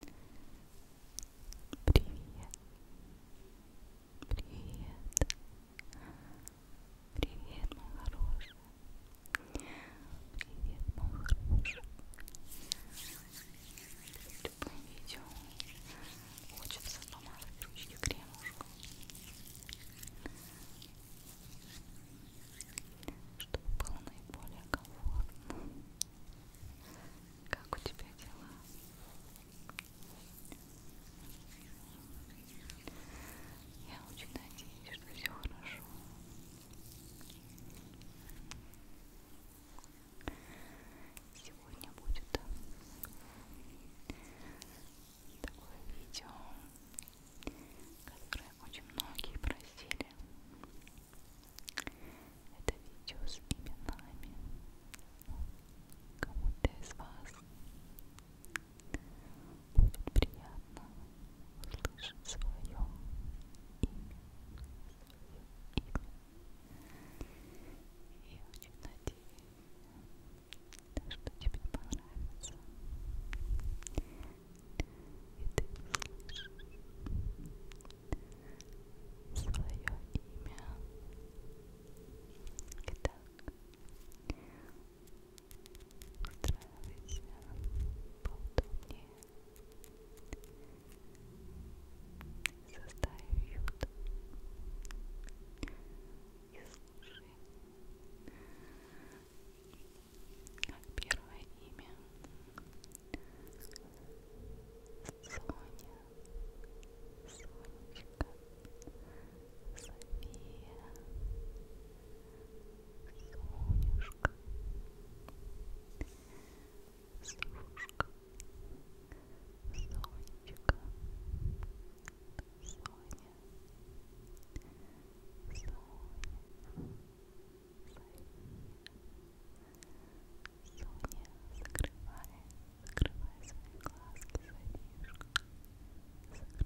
Привет. Привет. Привет, мой хороший. Привет, мой хороший. Любое видео хочется помазать ручки кремушку. Чтобы было наиболее комфортно. Как у тебя дела? Я очень надеюсь, что все хорошо. Сегодня будет такое видео, которое очень многие просили. Это видео с именами кому-то из вас будет приятно услышать свое имя, свое имя. И очень надеюсь, что тебе понравится и ты услышишь свое имя. Итак, устраивайся поудобнее. Создай уют. И слушай Первое имя Соня, Сонечка, София, Сонюшка, Сушка, Сонечка, Соня, Соня. Соня, Соня, закрывай, закрывай свои глазки, Софишка. Закрывай,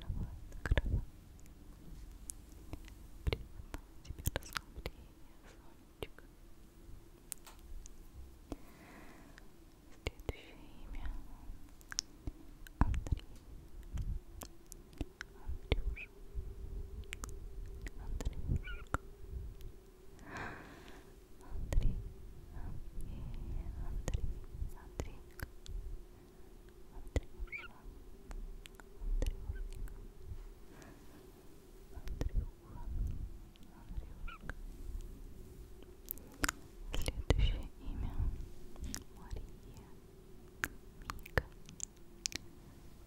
закрывай. Приятного тебе расслабления, Сонечка. Следующее имя Андрей. Андрюша. Андрюшка. Андрей, Андрей, Андрей, Андрейка, Андрюша, Андрюшка, Андрюха, Андрюшка. Следующее имя Мария, Мика,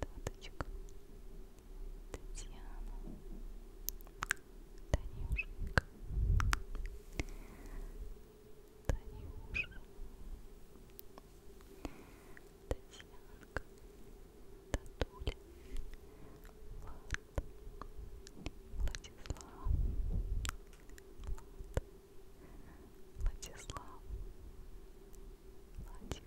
Таточка, Татьяна, Танюшенька, Танюша, Татьянка, Татуля, Влад, Владислав, Влад, Владислав, Владик, Владик,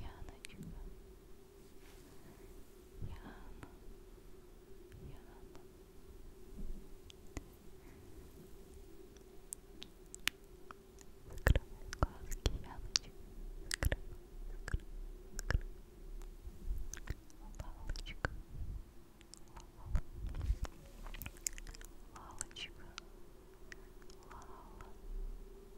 Яночка, Яна, Яна. Закрывай глазки, Яночка, закрывай, закрывай, закрывай. Лалочка, Лалочка, Лала. Лала,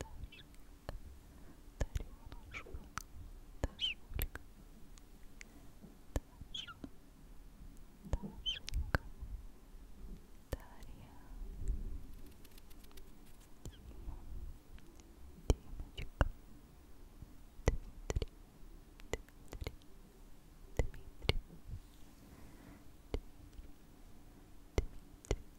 Дашенька, Дашулька, Даша, Дашенька, Дарья, Дима, Димочка, Дмитрий, Дмитрий, Дмитрий, Дмитрий, Дмитрий,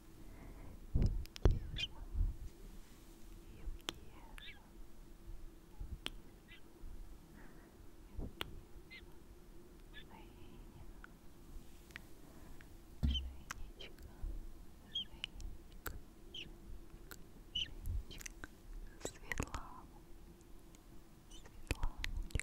Евгеша, Евгеша, Евгеша, Женечка, Женечка, Женечка, Женечка, Светлана, Светланочка, Светланочка,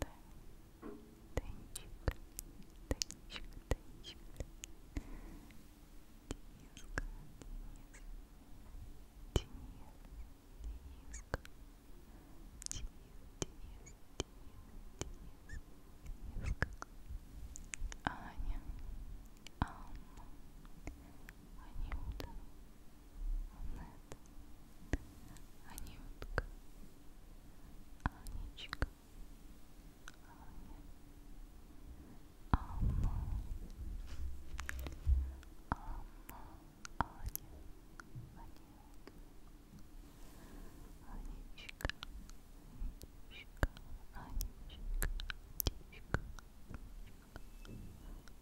Да. Денчик, денчик, денчик. Дениска, Денис. Денис, Дениска. Денис, Денис, Денис, Дениска. Аня, Анна, Анюта, Анюта, нет. Анютка. Анечка. Аня. Анна. Анна. Аня. Анютка. Анечка. Анечка. Анечка. Анечка. Анечка. Анечка.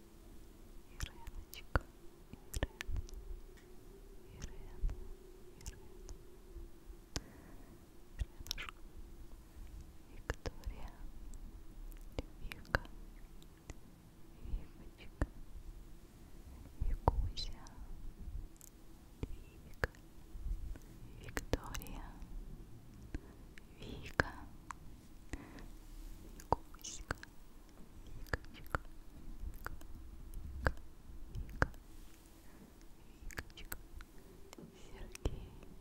Иреночка, Ирен, Ирен, Ирен, Иренушка, Виктория, Вика, Викочка, Викуся, Вика, Виктория, Вика, Кусика, Вика, Вика, Вика, Вика, Викочка, Сергей, Серега, Серый,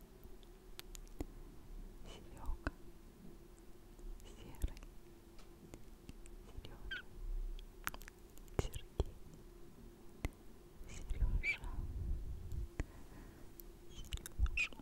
Сережа, Сергей, Сережа, Сережа,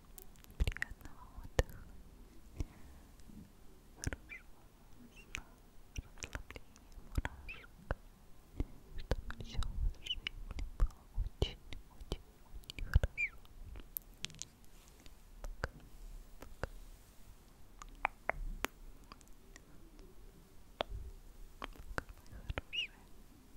Приятного отдыха. Хорошего сна, расслабления мурашек. Чтобы все в вашей жизни было очень-очень-очень хорошо. Пока. Пока. Пока, мои хорошие.